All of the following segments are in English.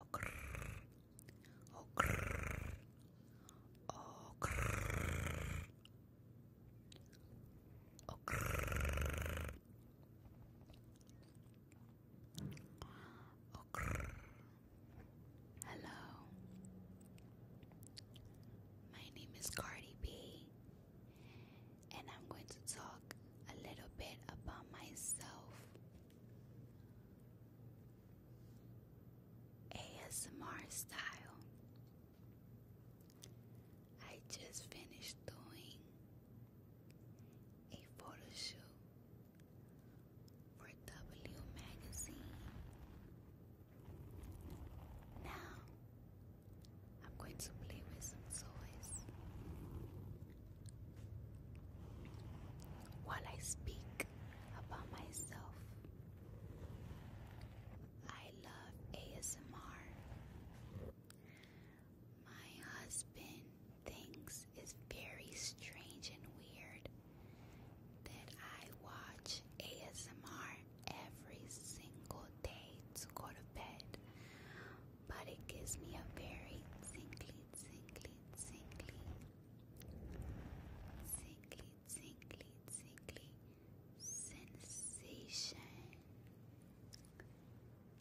Hello. My name is Cardi B and I'm going to talk a little bit about myself ASMR style. I just finished doing a photo shoot for W Magazine. Now I'm going to play with some toys. While I speak about myself, I love ASMR. My husband thinks it's very strange and weird that I watch ASMR every single day to go to bed but it gives me a very tingly, tingly, tingly, tingly, tingly, tingly sensation.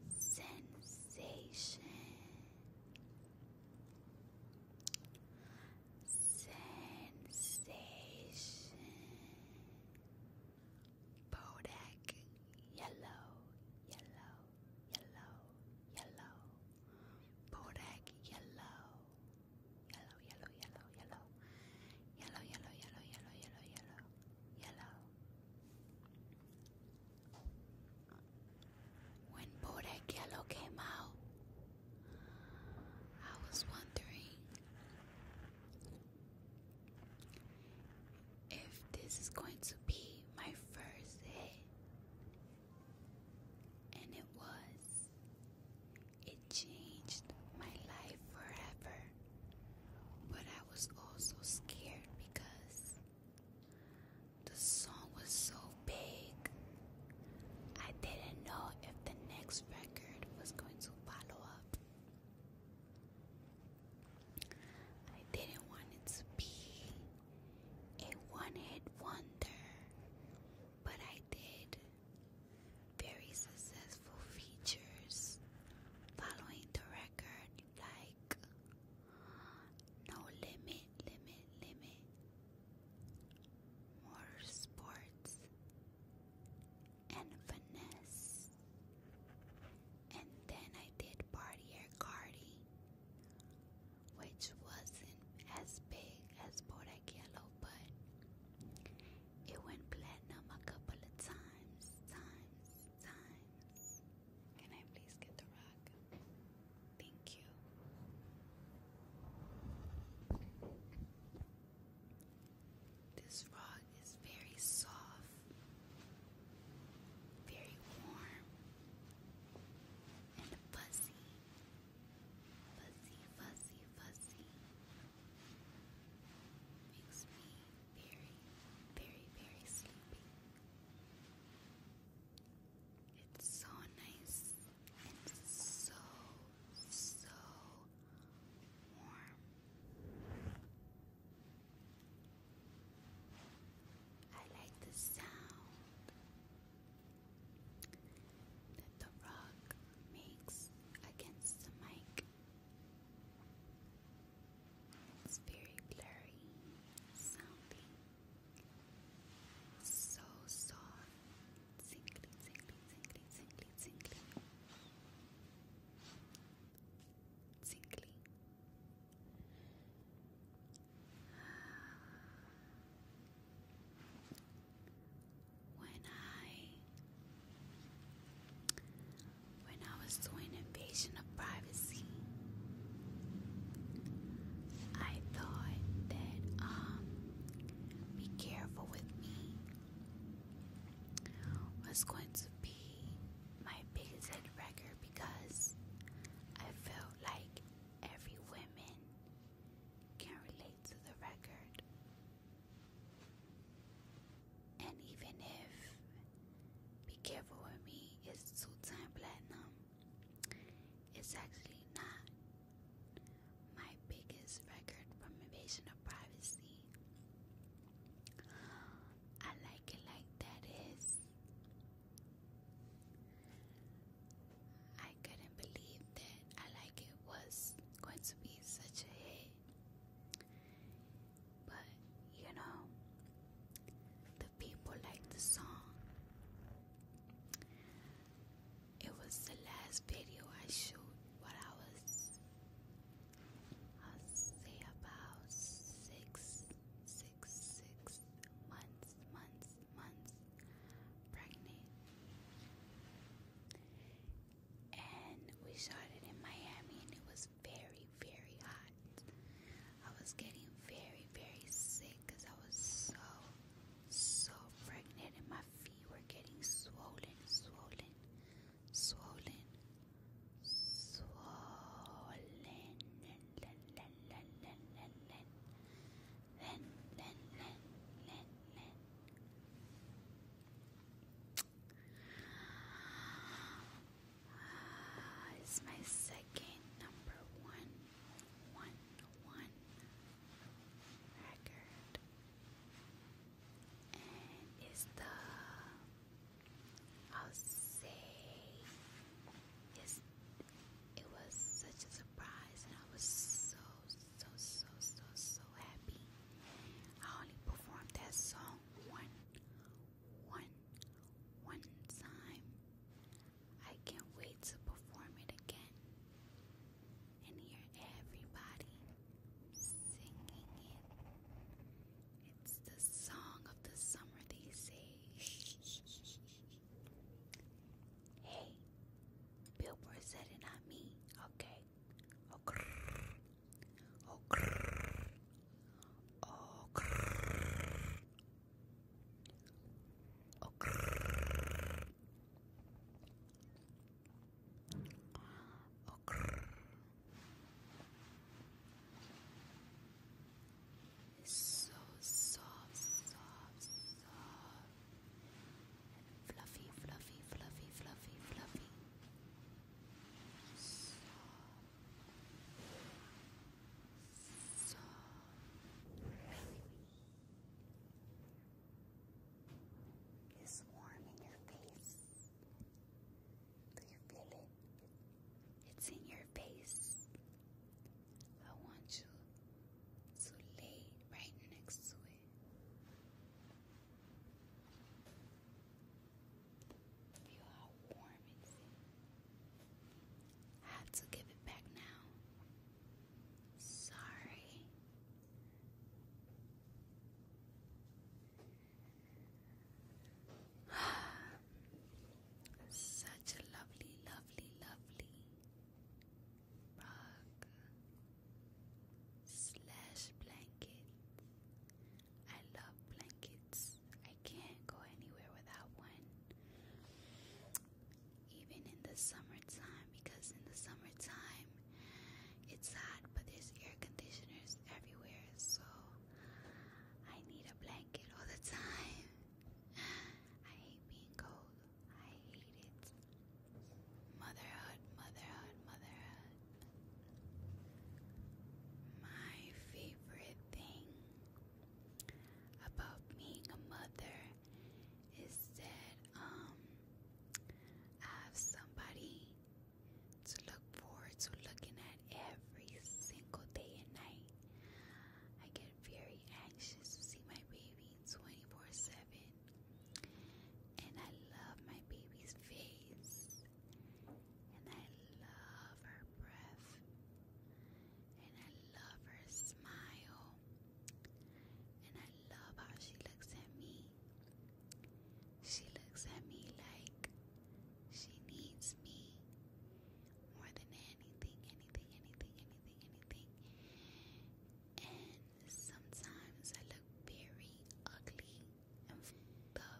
Sensation. Sensation. Bodak yellow, yellow, yellow, yellow. Bodak yellow. Yellow, yellow, yellow, yellow. Yellow, yellow, yellow, yellow, yellow, yellow. Yellow. When Bodak Yellow came out, I was wondering if this is going to be my first hit. And it was. It changed my life forever. But I was also scared because the song was so big. I didn't know if the next record was going to follow up. I didn't want it to be a one hit wonder, but I did. Very successful features following the record, like No Limit, Limit, Limit, Sports," and Finesse. And then I did third partier Cardi, which wasn't as big as Bodak but it went platinum a couple of times, times, times. Can I please get the rock? Thank you. This rock it's very soft, very warm, and fuzzy. Fuzzy, fuzzy, fuzzy. Makes me very, very, very sleepy. It's so nice and so, so warm. I like the sound that the rock makes against the mic. It's very blurry sounding. So soft. Singly, singly, singly, singly, singly. Singly. When I when I was doing invasion of privacy, I thought that um be careful with me was going to be my biggest record because I felt like every woman can relate to the record. And even if Be Careful With Me is two time platinum, it's actually not my biggest record from Invasion of Privacy. I like it like that is. I couldn't believe that I like it was going to be such a hit. But you know, the people like the song. It was the last video I shoot while I was I'll say about six, six, six months, months, months pregnant. And we shot it in Miami, and it was very, very hot. I was getting very, very sick because I was so, so pregnant, and my feet were getting swollen, swollen swollen, swollen, len, len, len, len, len, len, len, len, len, len, len. Uh, ah, it's my second number one, one, one record and the I'll say yes it was such a surprise and I was so so so so so happy. I only performed that song one one one time. I can't wait to perform it again and hear everybody singing it. It's the song of the summer, they say. hey, Billboard said it, not me. Okay. Oh, grrr. Oh, so soft, soft, soft. Fluffy, fluffy, fluffy, fluffy, fluffy. Soft. Soft is warm in your face. Do you feel it? It's in your face. I want you to lay right next to it. Feel how warm it is. have to give it back now. Sorry. Such a lovely, lovely, lovely rug slash blanket. I love blankets. I can't go anywhere without one. Even in the summertime, because in the summertime it's hot, but there's air conditioners everywhere, so I need a blanket all the time. I hate being cold. I hate it. Motherhood, motherhood, motherhood. My favorite thing about being a mother is that um have somebody to look forward to looking at every single day and night. I get very anxious to see my baby 24 7. And I love my baby's face. And I love her breath. And I love her smile. And I love how she looks at me. She looks at me like she needs me more than anything, anything, anything, anything, anything. And sometimes I look very ugly and fucked up.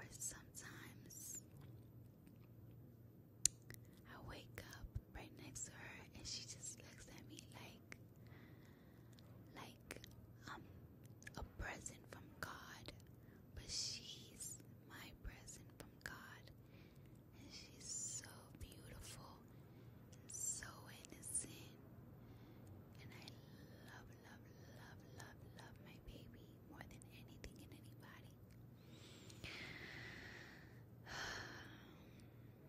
Or sometimes I wake up right next to her and she just looks at me like like like um a present from God, but she's my present from God, and she's so beautiful and so innocent, and I love, love, love, love, love my baby more than anything and anybody. Um,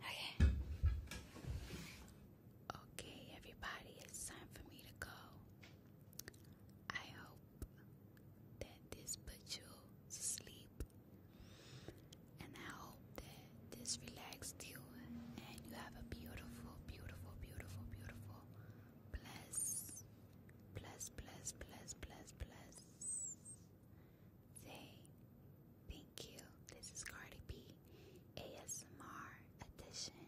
Okay. Okay, everybody, it's time for me to go. I hope that this put you to sleep, and I hope that this relaxed you and you have a beautiful, beautiful, beautiful, beautiful, bless, bless, bless, bless, bless, bless. Say thank you. This is Cardi B ASMR edition.